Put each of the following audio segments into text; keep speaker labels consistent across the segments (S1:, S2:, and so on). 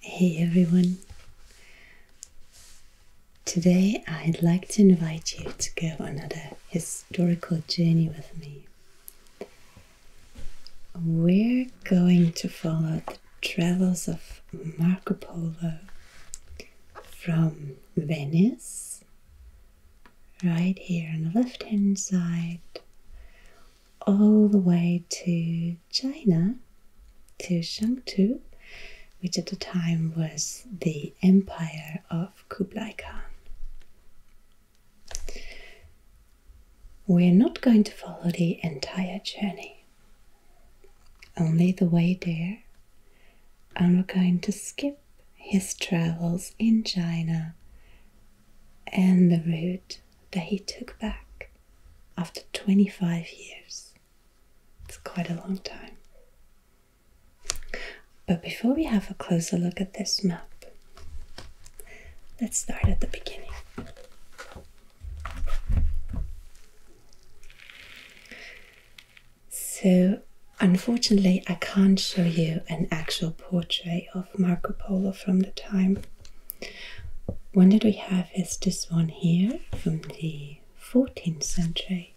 S1: Hey everyone! Today I'd like to invite you to go on another historical journey with me. We're going to follow the travels of Marco Polo from Venice, right here on the left hand side, all the way to China, to Chengdu, which at the time was the empire of Kublai Khan. We're not going to follow the entire journey, only the way there, and we're going to skip his travels in China and the route that he took back after 25 years. It's quite a long time. But before we have a closer look at this map, let's start at the beginning. So, unfortunately, I can't show you an actual portrait of Marco Polo from the time one that we have is this one here from the 14th century,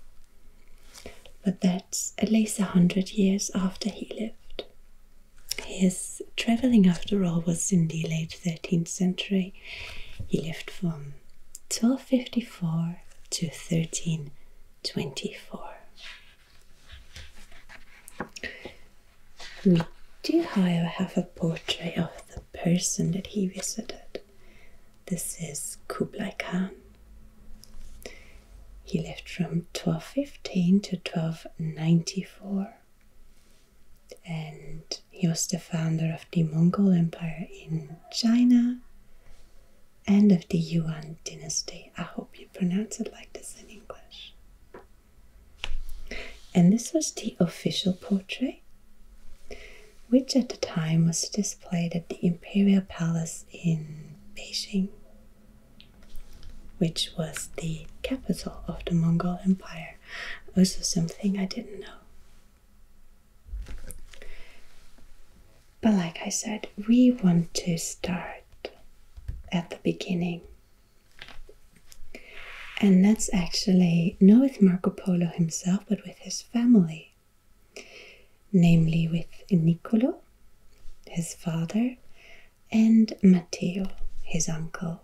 S1: but that's at least a hundred years after he lived. His travelling, after all, was in the late 13th century. He lived from 1254 to 1324. We do, however, have a portrait of the person that he visited. This is Kublai Khan. He lived from 1215 to 1294 and he was the founder of the Mongol Empire in China and of the Yuan dynasty. I hope you pronounce it like this in English. And this was the official portrait, which at the time was displayed at the Imperial Palace in Beijing, which was the capital of the Mongol Empire. Also, oh, something I didn't know. But, like I said, we want to start at the beginning and that's actually not with Marco Polo himself, but with his family, namely with Nicolo, his father, and Matteo, his uncle,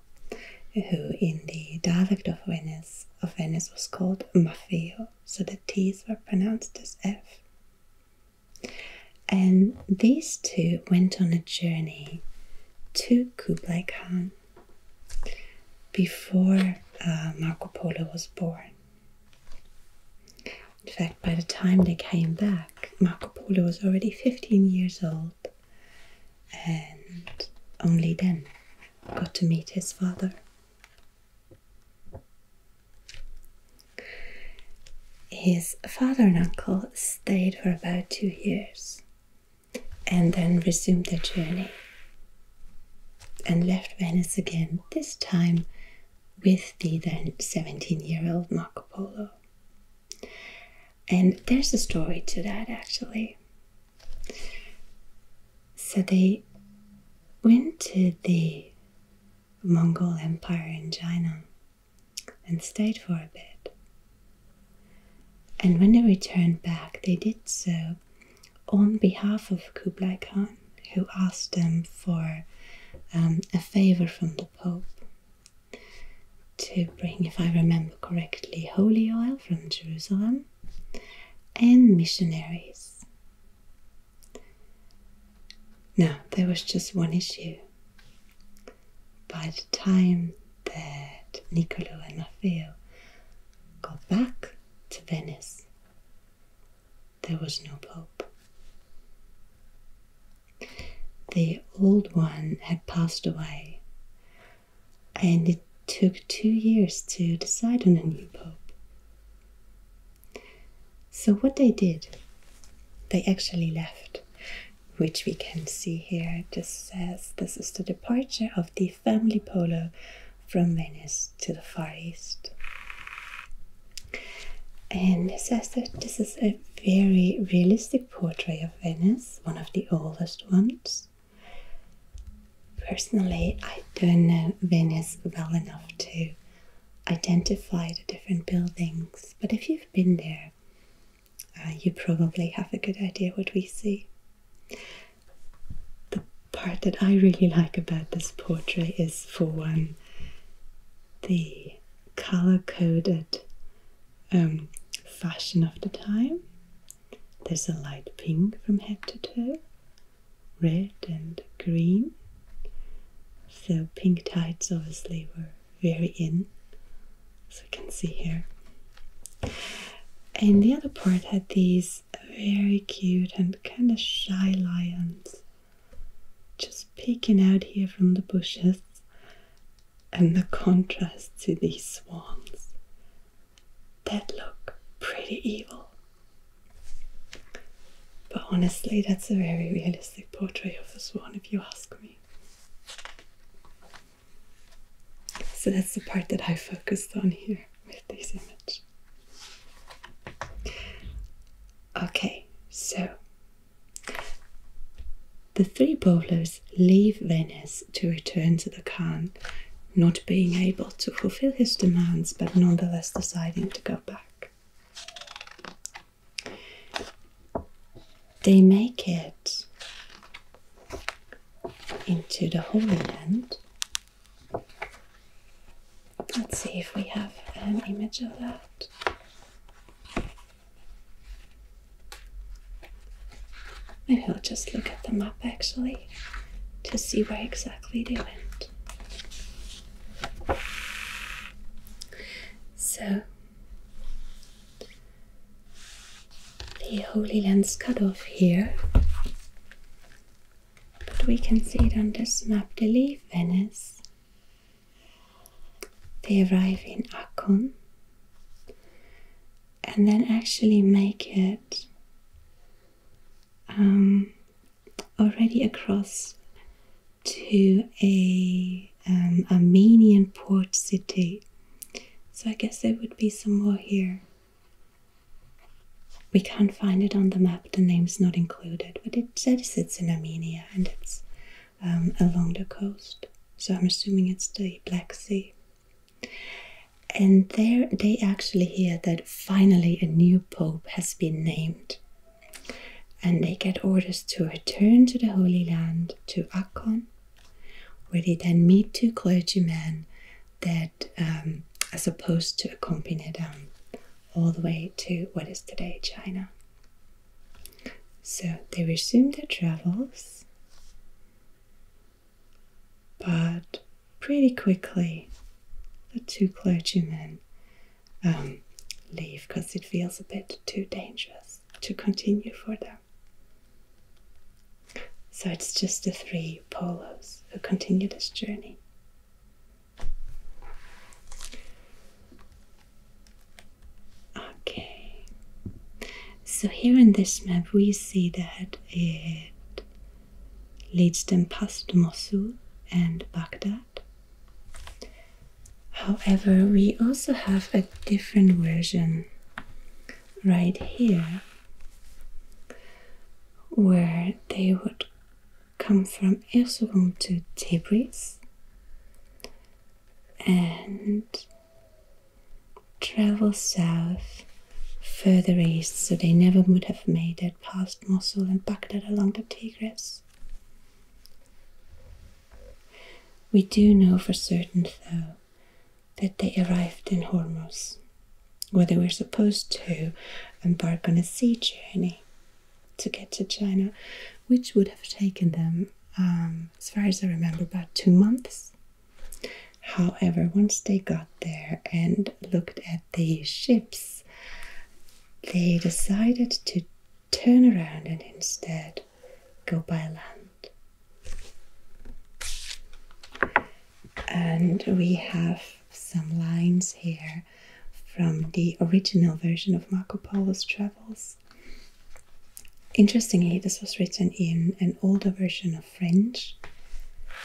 S1: who in the dialect of Venice, of Venice was called Maffeo, so the T's were pronounced as F. And these two went on a journey to Kublai Khan before uh, Marco Polo was born. In fact, by the time they came back, Marco Polo was already 15 years old and only then got to meet his father. His father and uncle stayed for about two years and then resumed their journey and left Venice again, this time with the then 17 year old Marco Polo. And there's a story to that actually. So they went to the Mongol Empire in China and stayed for a bit. And when they returned back, they did so on behalf of Kublai Khan, who asked them for um, a favor from the Pope to bring, if I remember correctly, holy oil from Jerusalem and missionaries. Now, there was just one issue by the time that Niccolo and Maffeo got back to Venice, there was no pope. The old one had passed away, and it took two years to decide on a new pope. So, what they did, they actually left which we can see here. It just says this is the departure of the family polo from Venice to the Far East. And it says that this is a very realistic portrait of Venice, one of the oldest ones. Personally, I don't know Venice well enough to identify the different buildings, but if you've been there, uh, you probably have a good idea what we see. The part that I really like about this portrait is, for one, the color-coded um, fashion of the time. There's a light pink from head to toe, red and green. So pink tights obviously were very in, as you can see here. And the other part had these very cute and kind of shy lions just peeking out here from the bushes, and the contrast to these swans that look pretty evil. But honestly, that's a very realistic portrayal of a swan, if you ask me. So that's the part that I focused on here with this image. Okay, so the three bowlers leave Venice to return to the Khan, not being able to fulfill his demands, but nonetheless deciding to go back they make it into the Holy Land. Let's see if we have an image of that. Maybe I'll just look at the map actually to see where exactly they went. So the Holy Lands cut off here, but we can see it on this map. They leave Venice, they arrive in Akkon, and then actually make it um, already across to a um, Armenian port city so I guess there would be some more here. We can't find it on the map, the name's not included, but it says it's in Armenia and it's um, along the coast. So I'm assuming it's the Black Sea. And there they actually hear that finally a new pope has been named. And they get orders to return to the Holy Land, to Akkon, where they then meet two clergymen that um, are supposed to accompany them all the way to what is today China. So they resume their travels, but pretty quickly the two clergymen um, leave because it feels a bit too dangerous to continue for them. So it's just the three polos who continue this journey. Okay, so here in this map we see that it leads them past Mosul and Baghdad. However, we also have a different version right here where they would come from Erzurum to Tabriz and travel south further east so they never would have made it past Mosul and Baghdad along the Tigris. We do know for certain though that they arrived in Hormuz, where they were supposed to embark on a sea journey to get to China, which would have taken them, um, as far as I remember, about two months. However, once they got there and looked at the ships, they decided to turn around and instead go by land. And we have some lines here from the original version of Marco Polo's travels. Interestingly, this was written in an older version of French,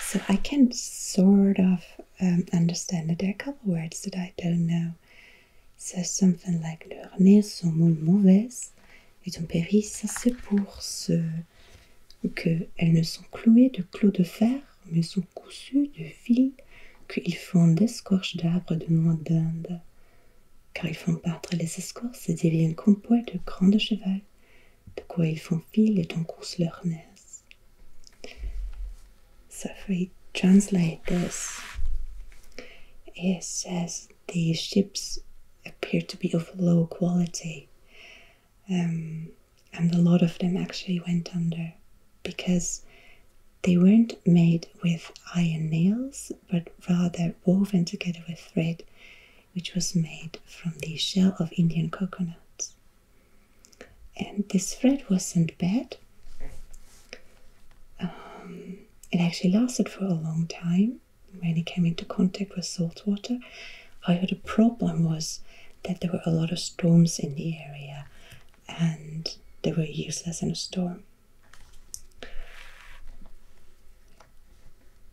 S1: so I can sort of um, understand that there are a couple words that I don't know. It says something like "leurs nez sont mauvais," en périssent c'est pour ce qu'elles ne sont clouées de clous de fer, mais sont cousues de fils qu'ils font d'escorches d'arbres de noix d'Inde. Car ils font battre les escorces et deviennent composés de grands chevaux, de quoi ils font fil et en cousent leur nez. Ça These ships appeared to be of low quality. Um, and a lot of them actually went under because they weren't made with iron nails but rather woven together with thread, which was made from the shell of Indian coconuts. And this thread wasn't bad. Um, it actually lasted for a long time when he came into contact with salt water. However, the problem was that there were a lot of storms in the area and they were useless in a storm.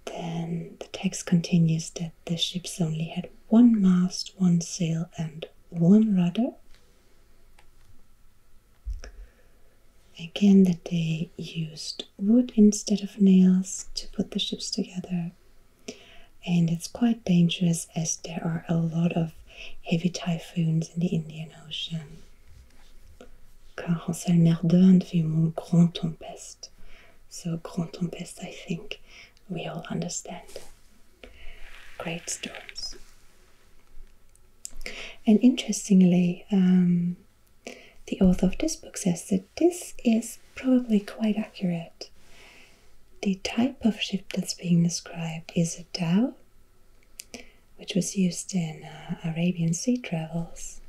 S1: Then the text continues that the ships only had one mast, one sail, and one rudder again that they used wood instead of nails to put the ships together. And it's quite dangerous as there are a lot of heavy typhoons in the Indian Ocean. Car Anselme fut mon grand tempest. So, grand tempest, I think we all understand. Great storms. And interestingly, um, the author of this book says that this is probably quite accurate. The type of ship that's being described is a dhow, which was used in uh, Arabian sea travels.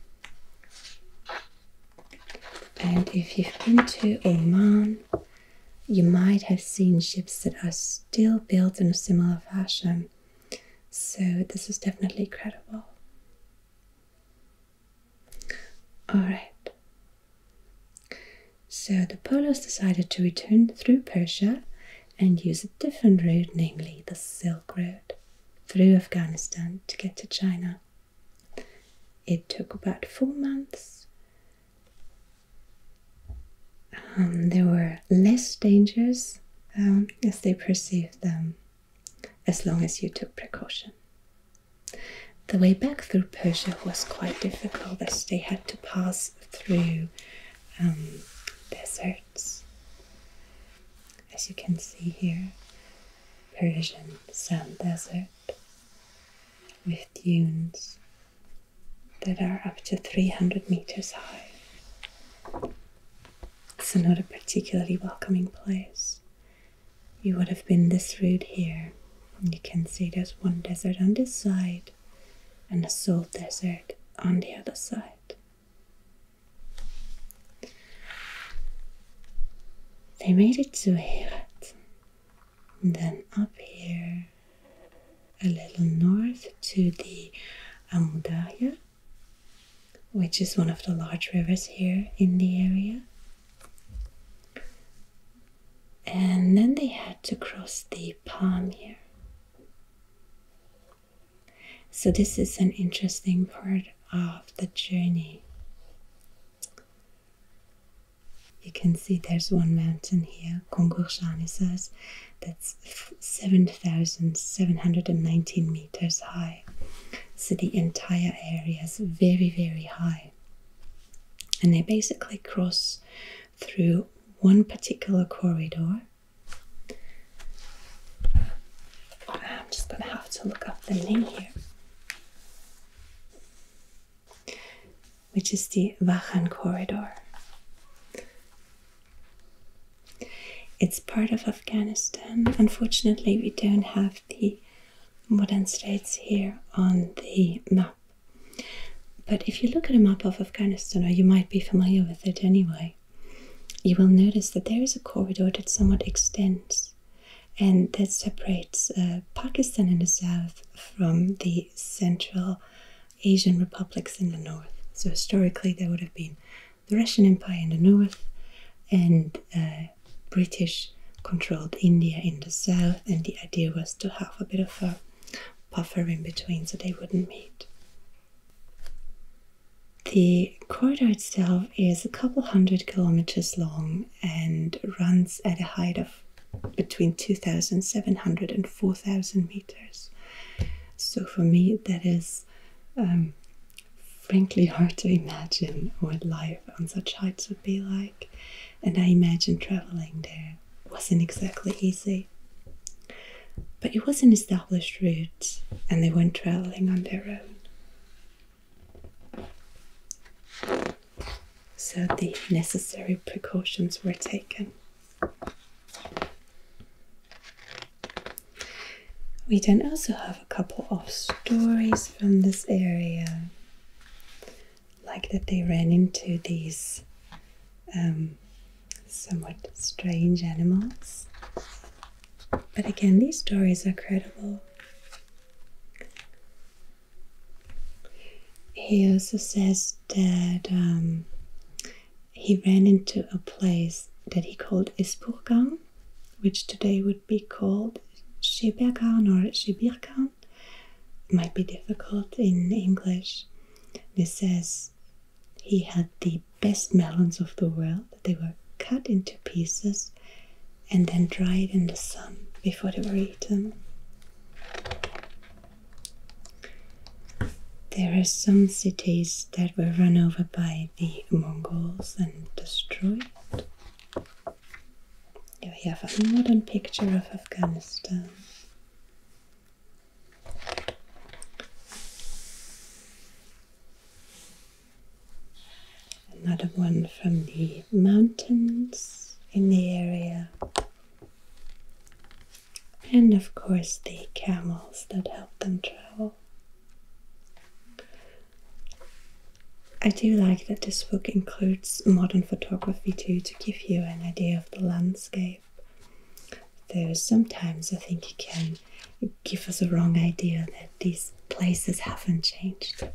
S1: And if you've been to Oman, you might have seen ships that are still built in a similar fashion. So, this is definitely credible. Alright. So the Polos decided to return through Persia and use a different route, namely the Silk Road, through Afghanistan to get to China. It took about four months. Um, there were less dangers um, as they perceived them as long as you took precaution. The way back through Persia was quite difficult as they had to pass through um, deserts. As you can see here, Persian sand desert with dunes that are up to 300 meters high. It's not a particularly welcoming place, you would have been this route here. You can see there's one desert on this side and a salt desert on the other side. They made it to Herat, then up here, a little north to the Amudaya which is one of the large rivers here in the area. And then they had to cross the Pamir. So, this is an interesting part of the journey. You can see there's one mountain here, Kongurshan, says, that's 7,719 meters high. So the entire area is very, very high. And they basically cross through one particular corridor. I'm just going to have to look up the name here. Which is the Wachan corridor. It's part of a Unfortunately, we don't have the modern states here on the map. But if you look at a map of Afghanistan, or you might be familiar with it anyway, you will notice that there is a corridor that somewhat extends and that separates uh, Pakistan in the south from the central Asian republics in the north. So historically, there would have been the Russian Empire in the north and uh, British controlled India in the south, and the idea was to have a bit of a buffer in between so they wouldn't meet. The corridor itself is a couple hundred kilometers long and runs at a height of between 2,700 and 4,000 meters. So for me, that is um, frankly hard to imagine what life on such heights would be like, and I imagine traveling there wasn't exactly easy. But it was an established route, and they weren't traveling on their own. So the necessary precautions were taken. We then also have a couple of stories from this area, like that they ran into these um, somewhat strange animals. But again, these stories are credible. He also says that um, he ran into a place that he called Ispurgang, which today would be called Shebirgan or Shebirgan. Might be difficult in English. This says he had the best melons of the world. They were cut into pieces and then dried in the sun before they were eaten. There are some cities that were run over by the Mongols and destroyed we have a modern picture of Afghanistan. Another one from the mountains in the area. And of course, the camels that help them travel. I do like that this book includes modern photography too to give you an idea of the landscape. Though sometimes I think it can give us a wrong idea that these places haven't changed,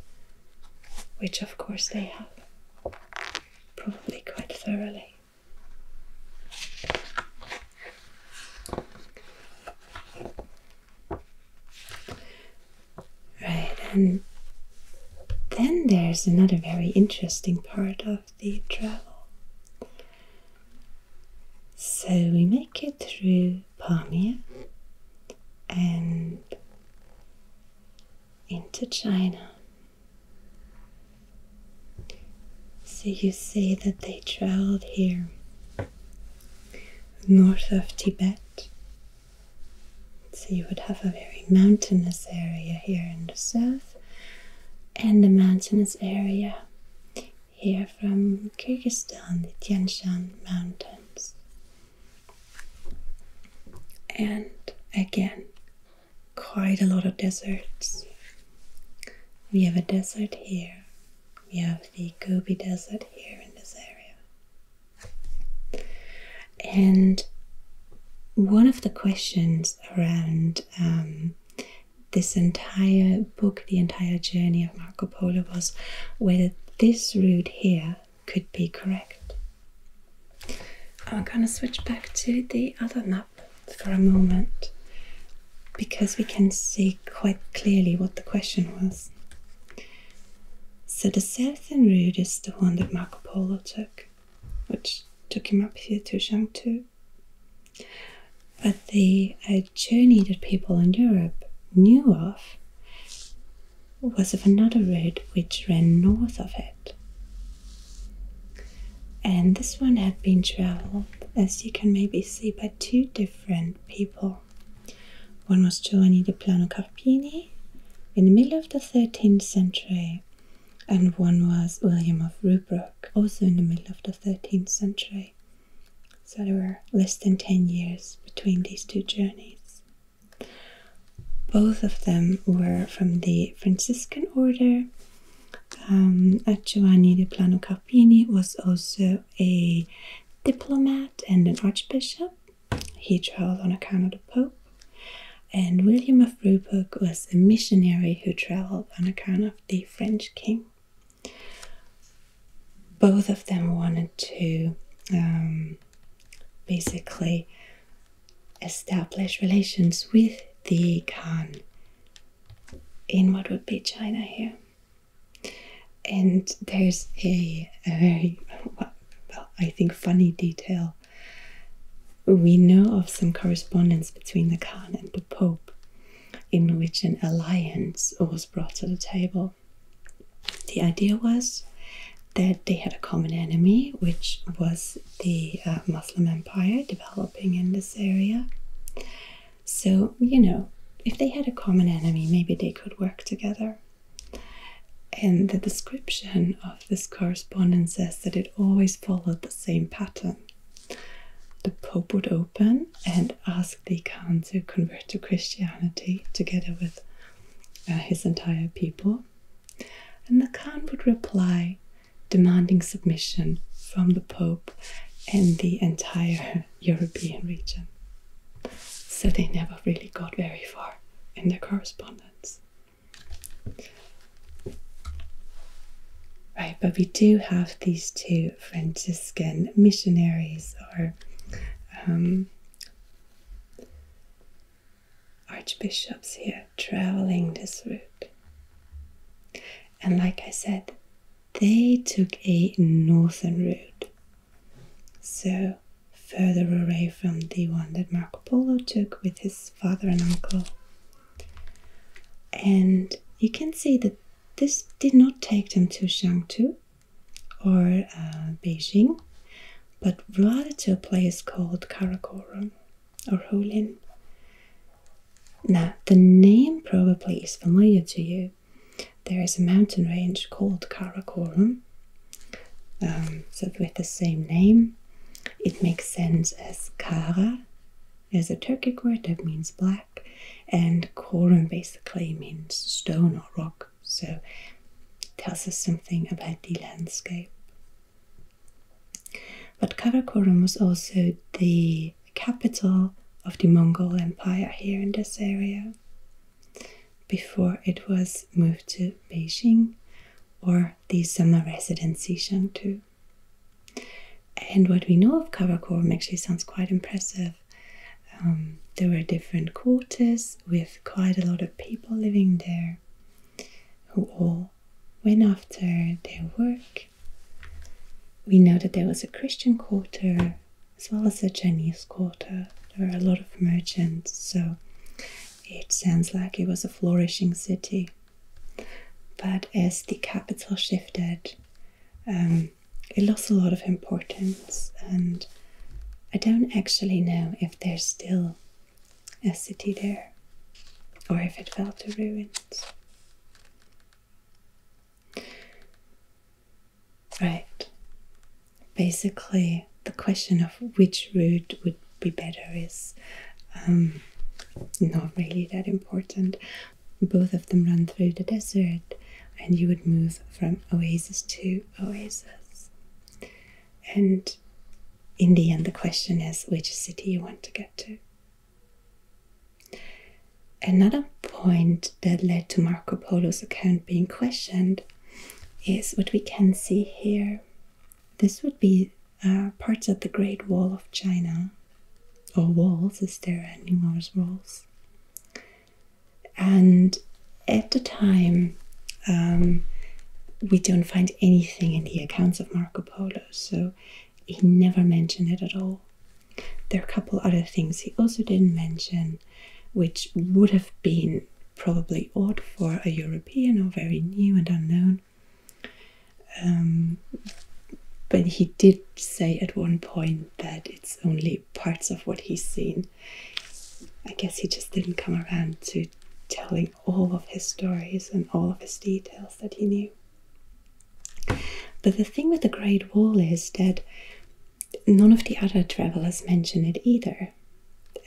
S1: which of course they have, probably quite thoroughly. Right, and then there's another very interesting part of the travel. So we make it through Pamir and into China. So you see that they traveled here north of Tibet so you would have a very mountainous area here in the south and a mountainous area here from Kyrgyzstan, the Tian Shan Mountains. And again, quite a lot of deserts. We have a desert here, we have the Gobi Desert here in this area. And one of the questions around um, this entire book, the entire journey of Marco Polo, was whether this route here could be correct. I'm going to switch back to the other map for a moment because we can see quite clearly what the question was. So the southern route is the one that Marco Polo took, which took him up here to Chengdu. But the journey that people in Europe knew of was of another route, which ran north of it. And this one had been travelled, as you can maybe see, by two different people. One was Giovanni de Plano Carpini in the middle of the 13th century, and one was William of Rubruck, also in the middle of the 13th century. So there were less than 10 years between these two journeys. Both of them were from the Franciscan order. Um, Giovanni de Plano Carpini was also a diplomat and an archbishop he travelled on account of the Pope. And William of Ruburg was a missionary who travelled on account of the French king. Both of them wanted to um, basically establish relations with the Khan in what would be China here. And there's a, very, well, I think, funny detail. We know of some correspondence between the Khan and the Pope in which an alliance was brought to the table. The idea was that they had a common enemy, which was the uh, Muslim Empire developing in this area. So, you know, if they had a common enemy, maybe they could work together. And the description of this correspondence says that it always followed the same pattern. The Pope would open and ask the Khan to convert to Christianity together with uh, his entire people. And the Khan would reply, demanding submission from the Pope and the entire European region. So they never really got very far in their correspondence. Right, but we do have these two Franciscan missionaries or um, archbishops here traveling this route. And like I said, they took a northern route so further away from the one that Marco Polo took with his father and uncle. And you can see that this did not take them to Chengdu or uh, Beijing, but rather to a place called Karakorum or Hulun. Now, the name probably is familiar to you there is a mountain range called Karakorum. um, so with the same name. It makes sense as Kara is a Turkic word that means black, and Korum basically means stone or rock, so it tells us something about the landscape. But Karakorum was also the capital of the Mongol Empire here in this area before it was moved to Beijing or the summer residency Chengdu. And what we know of Karakoram actually sounds quite impressive. Um, there were different quarters with quite a lot of people living there who all went after their work. We know that there was a Christian quarter, as well as the Chinese quarter. There were a lot of merchants, so it sounds like it was a flourishing city. But as the capital shifted, um, it lost a lot of importance, and I don't actually know if there's still a city there or if it fell to ruins. Right. Basically, the question of which route would be better is um, not really that important. Both of them run through the desert, and you would move from oasis to oasis. And in the end, the question is which city you want to get to. Another point that led to Marco Polo's account being questioned is what we can see here. This would be uh, parts of the Great Wall of China, or walls, as there are numerous walls. And at the time, um, we don't find anything in the accounts of Marco Polo, so he never mentioned it at all. There are a couple other things he also didn't mention, which would have been probably odd for a European or very new and unknown. Um, but he did say at one point that it's only parts of what he's seen. I guess he just didn't come around to telling all of his stories and all of his details that he knew. But the thing with the Great Wall is that none of the other travelers mention it either,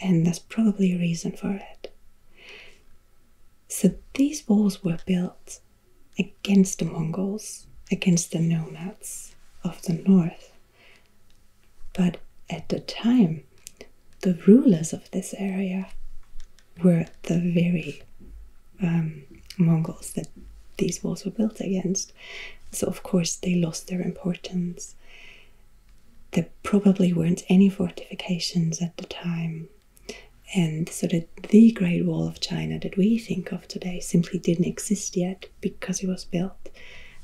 S1: and there's probably a reason for it. So these walls were built against the Mongols, against the nomads of the north. But at the time, the rulers of this area were the very um, Mongols that these walls were built against. So, of course, they lost their importance. There probably weren't any fortifications at the time. And so that the Great Wall of China that we think of today simply didn't exist yet because it was built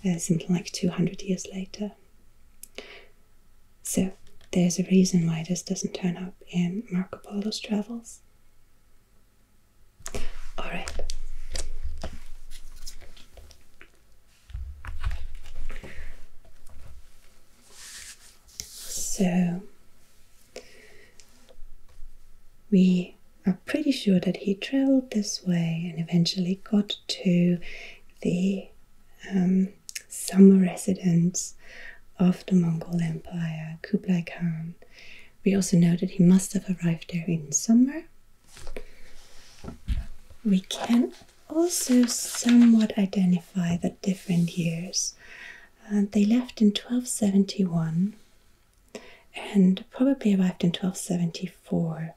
S1: uh, something like 200 years later. So there's a reason why this doesn't turn up in Marco Polo's travels. All right. So we are pretty sure that he traveled this way and eventually got to the um, summer residence of the Mongol Empire, Kublai Khan. We also know that he must have arrived there in summer we can also somewhat identify the different years. Uh, they left in 1271 and probably arrived in 1274.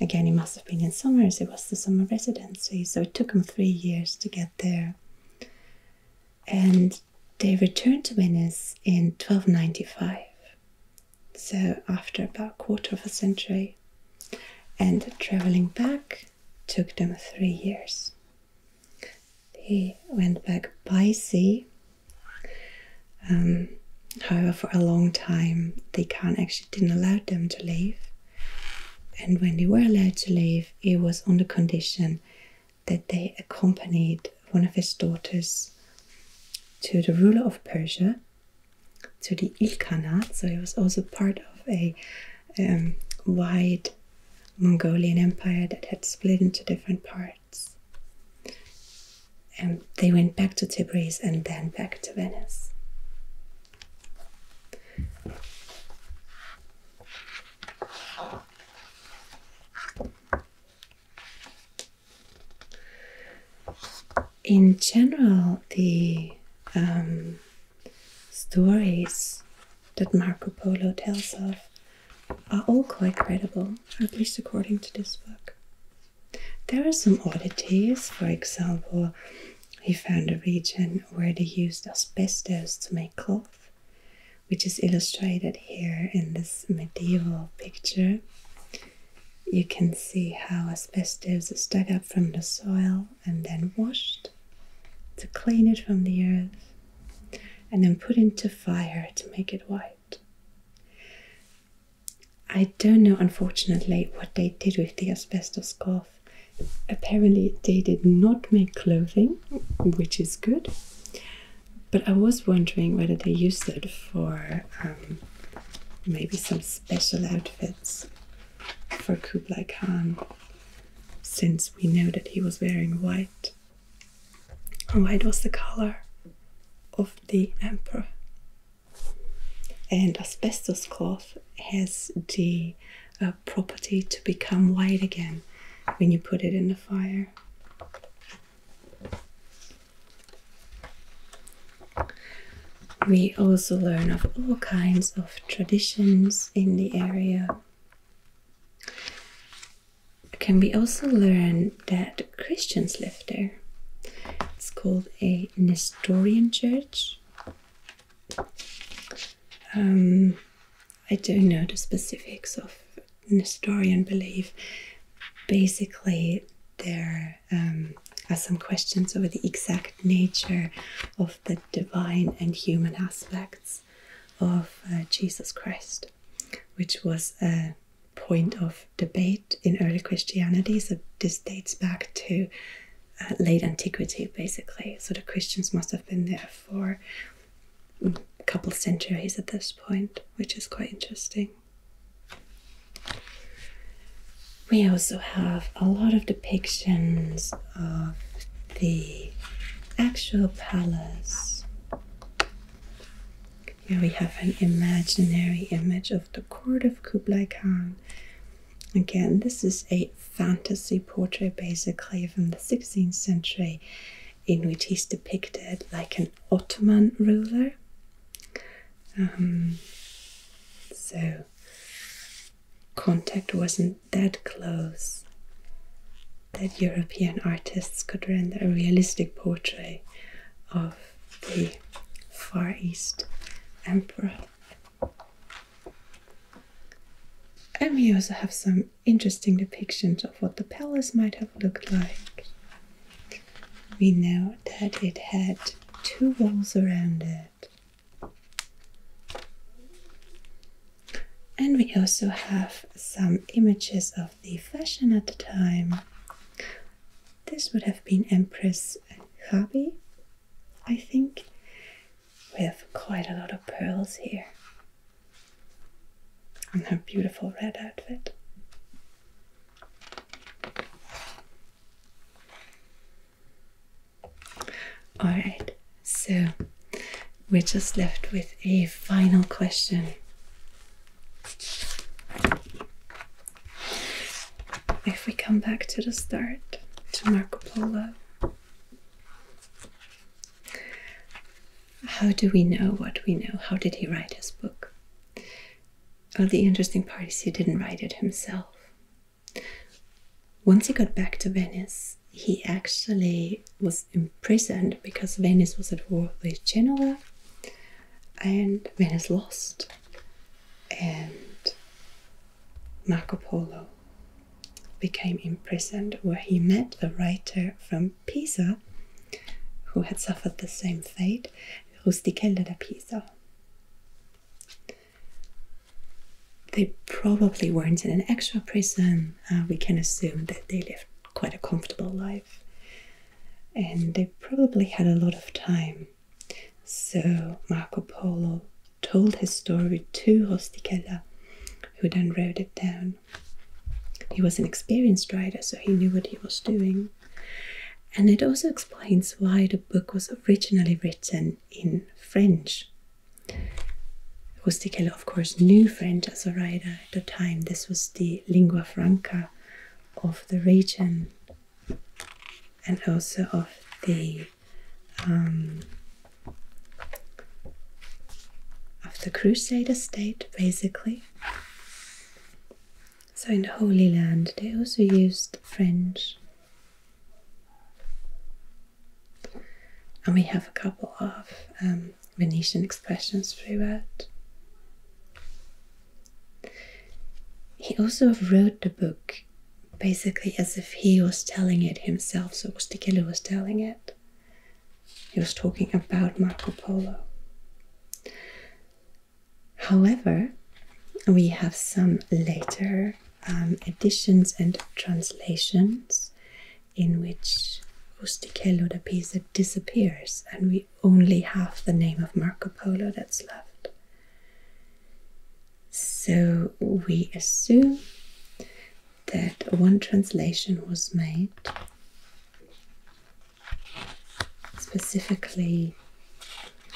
S1: Again, it must have been in Summers, it was the summer residency, so it took them three years to get there. And they returned to Venice in 1295 so after about a quarter of a century. And traveling back took them three years. They went back by sea. Um, however, for a long time, the Khan actually didn't allow them to leave. And when they were allowed to leave, it was on the condition that they accompanied one of his daughters to the ruler of Persia to the Ilkhanate. So it was also part of a um, wide Mongolian empire that had split into different parts. And they went back to Tabriz and then back to Venice in general, the um, stories that Marco Polo tells of are all quite credible, at least according to this book. There are some oddities, for example, he found a region where they used asbestos to make cloth, which is illustrated here in this medieval picture. You can see how asbestos is dug up from the soil and then washed to clean it from the earth and then put into fire to make it white. I don't know, unfortunately, what they did with the asbestos cloth. Apparently, they did not make clothing, which is good. But I was wondering whether they used it for um, maybe some special outfits for Kublai Khan, since we know that he was wearing white. And white was the color of the emperor. And asbestos cloth has the uh, property to become white again when you put it in the fire. We also learn of all kinds of traditions in the area. Can we also learn that Christians live there? It's called a Nestorian church. Um, I don't know the specifics of Nestorian belief. Basically, they're were um, some questions over the exact nature of the divine and human aspects of uh, Jesus Christ, which was a point of debate in early Christianity. So this dates back to uh, late antiquity, basically. So the Christians must have been there for mm, a couple centuries at this point, which is quite interesting. We also have a lot of depictions of the actual palace. Here we have an imaginary image of the court of Kublai Khan. Again, this is a fantasy portrait basically from the 16th century in which he's depicted like an Ottoman ruler um, so contact wasn't that close that European artists could render a realistic portrait of the Far East emperor. And we also have some interesting depictions of what the palace might have looked like we know that it had two walls around it. And we also have some images of the fashion at the time. This would have been Empress Gabi, I think. We have quite a lot of pearls here. And her beautiful red outfit. All right, so we're just left with a final question. If we come back to the start, to Marco Polo, how do we know what we know? How did he write his book? Oh, the interesting part is he didn't write it himself. Once he got back to Venice, he actually was imprisoned because Venice was at war with Genoa and Venice lost. And Marco Polo became imprisoned, where he met a writer from Pisa who had suffered the same fate, Rusticella da Pisa. They probably weren't in an actual prison. Uh, we can assume that they lived quite a comfortable life and they probably had a lot of time. So Marco Polo told his story to Rusticella, who then wrote it down. He was an experienced rider, so he knew what he was doing. And it also explains why the book was originally written in French. Rustichello, of course, knew French as a writer at the time. This was the lingua franca of the region and also of the um, of the Crusader state, basically. So in the Holy Land they also used French. And we have a couple of um, Venetian expressions throughout. He also wrote the book basically as if he was telling it himself, so Rustichello was telling it. He was talking about Marco Polo. However, we have some later editions um, and translations in which Rustichello da Pisa disappears and we only have the name of Marco Polo that's left. So we assume that one translation was made specifically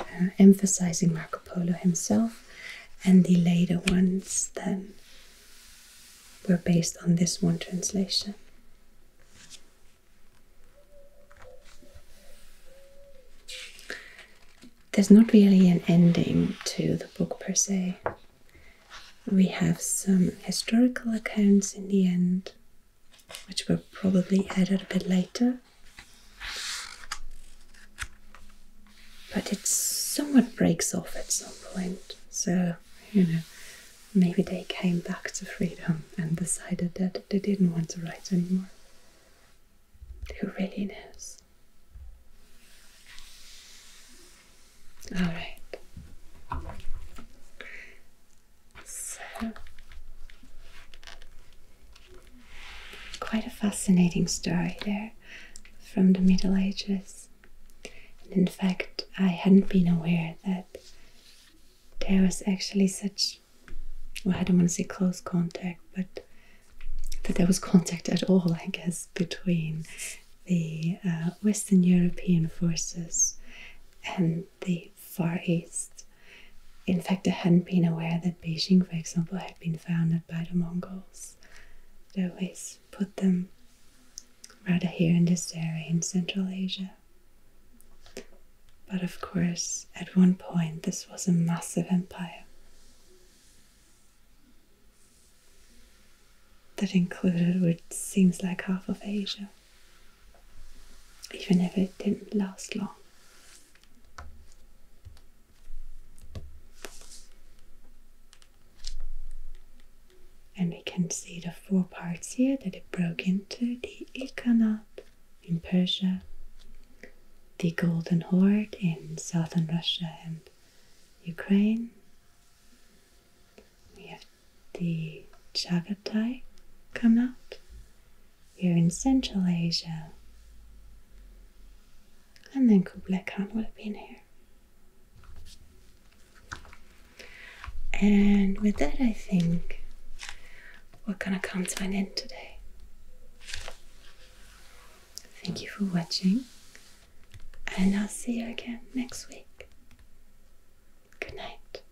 S1: uh, emphasizing Marco Polo himself, and the later ones then were based on this one translation. There's not really an ending to the book per se. We have some historical accounts in the end which will probably added a bit later. But it somewhat breaks off at some point, so you know, maybe they came back to freedom and decided that they didn't want to write anymore. Who really knows? Alright. So, quite a fascinating story there from the Middle Ages. And in fact, I hadn't been aware that there was actually such, well, I don't want to say close contact, but that there was contact at all, I guess, between the uh, Western European forces and the Far East. In fact, I hadn't been aware that Beijing, for example, had been founded by the Mongols. They always put them right here in this area in Central Asia. But of course, at one point, this was a massive empire that included what seems like half of Asia even if it didn't last long. And we can see the four parts here that it broke into the Ilkhanat in Persia, the Golden Horde in southern Russia and Ukraine. We have the Chagatai Khanat here in Central Asia. And then Kublai Khan would have been here. And with that, I think we're gonna come to an end today. Thank you for watching, and I'll see you again next week. Good night.